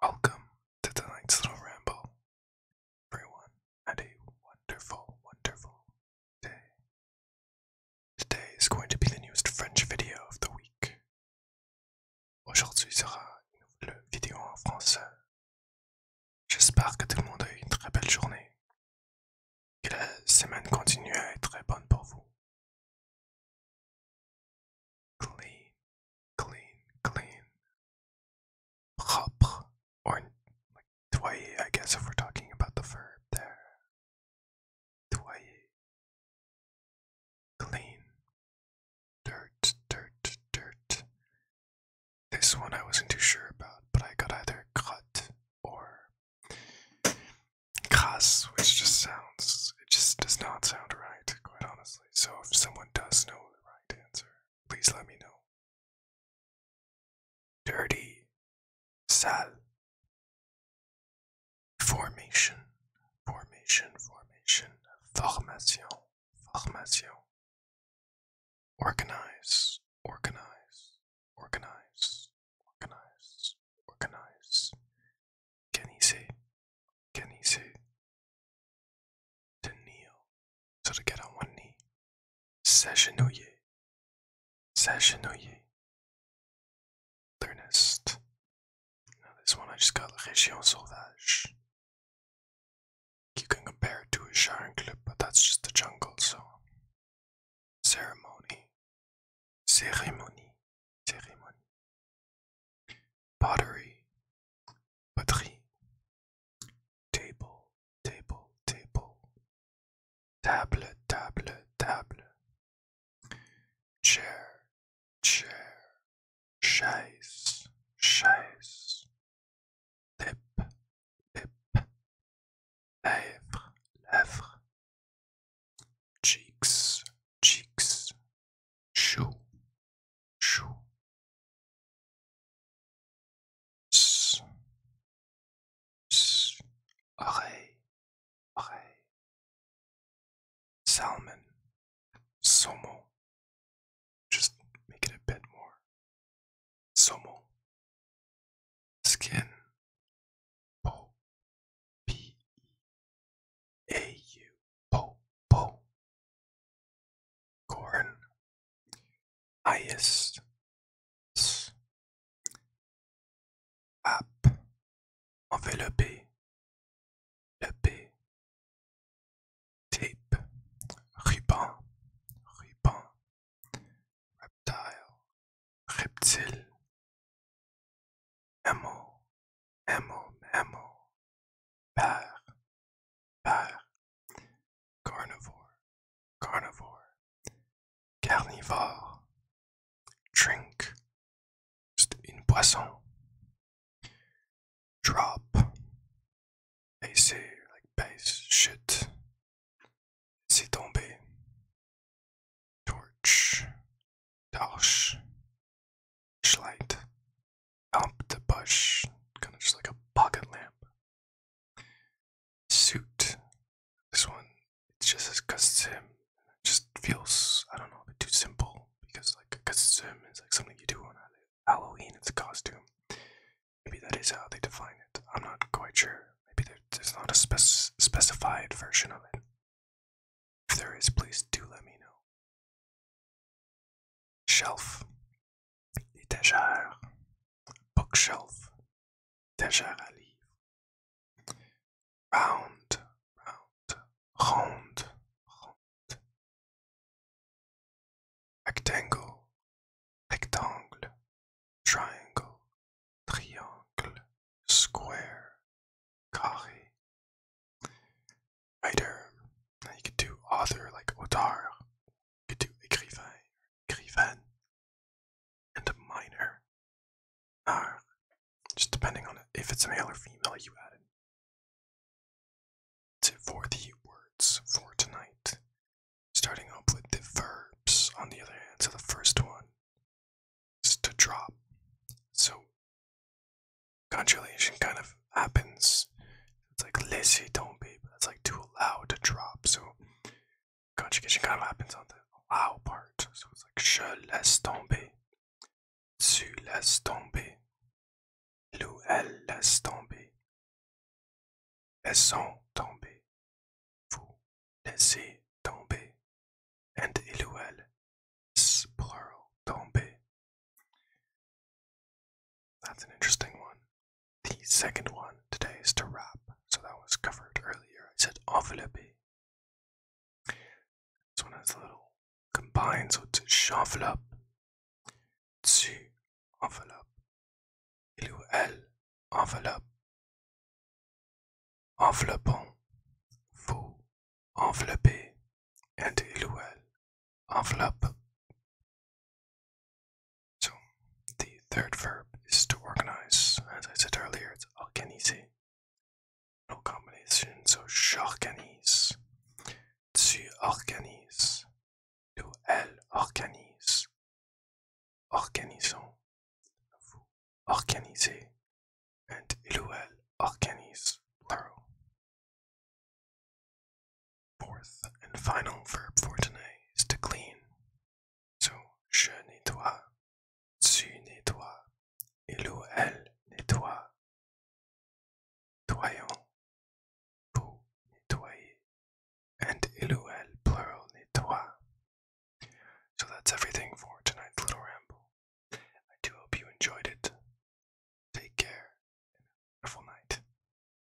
Welcome to tonight's little ramble. Everyone had a wonderful, wonderful day. Today is going to be the newest French video of the week. Aujourd'hui sera le vidéo en français. J'espère que tout le monde a une très belle journée. Que la semaine continue à être très bonne pour vous. Clean, clean, clean. Propre, or like I guess, if we're talking about the verb there. Toyer. Clean. Dirt, dirt, dirt. This one I wasn't too sure about, but I got either cut or Krass, which just sounds, it just does not sound right, quite honestly. So if someone does know the right answer, please let me know. Dirty Sal Formation, formation, formation, formation, formation. Organize, organize, Organize, organize, organize. Can he say? Can he say? To kneel, so to get on one knee. Sessionoye, sessionoye. Learnest. Now this one I just got Région Sauvage. You can compare it to a Sharon but that's just the jungle, so ceremony, ceremony, ceremony, pottery, potterie, table, table, table, table, table, table, chair, chair, chaise, chaise, Lip, lip, lèvres, lèvres, cheeks, cheeks, chou, chou, s, s, oreille, oreille, salmon, saumon, just make it a bit more somo skin po corn ice app enveloppé tape, ruban, ruban, reptile, reptile, Amo, amo, amo. père, père, carnivore, carnivore, carnivore, drink, c'est une poisson. drop AC like base shit on me. torch dosh light up the bush kind of just like a pocket lamp suit this one it's just as custom it just feels I don't know a bit too simple because like costume is like something you do on Halloween. It's a costume. Maybe that is how they define it. I'm not quite sure. Maybe there, there's not a spec specified version of it. If there is, please do let me know. Shelf, étagère, bookshelf, étagère à livres round, round, rond, rond. Rectangle, rectangle, triangle, triangle, square, carré. Writer. Now you could do author like auteur. You could do écrivain, écrivaine. And a minor. Ah, just depending on it, if it's a male or female, you add it. To, for the words for tonight, starting off with the verbs on the other hand. So the first one is to drop. So conjugation kind of happens. It's like don't be. but it's like to allow to drop. So conjugation kind of happens on the allow part. So it's like je laisse tomber. Tu laisses tomber. Il ou elle laisse tomber. Laissons tomber. Vous laissez tomber. And il ou elle plural tomber. That's an interesting one. The second one today is to wrap, so that was covered earlier. I said envelopper. This one has a little combined, so it's Chanvelop. Tu enveloppe. Il ou elle enveloppe. Vous enveloppez. And il ou elle enveloppe. So the third verb is to organize. As I said earlier, it's organiser. No combination, so organise, Tu organises. Tu elle organise. Organisons. Vous organisez. And il ou elle organise. Fourth and final verb for today is to clean. So, je nettoie, tu nettoies, il ou elle nettoie. Nettoyons, vous nettoyez, and il ou elle plural nettoie. So that's everything for tonight's little ramble. I do hope you enjoyed it. Take care and have a wonderful night.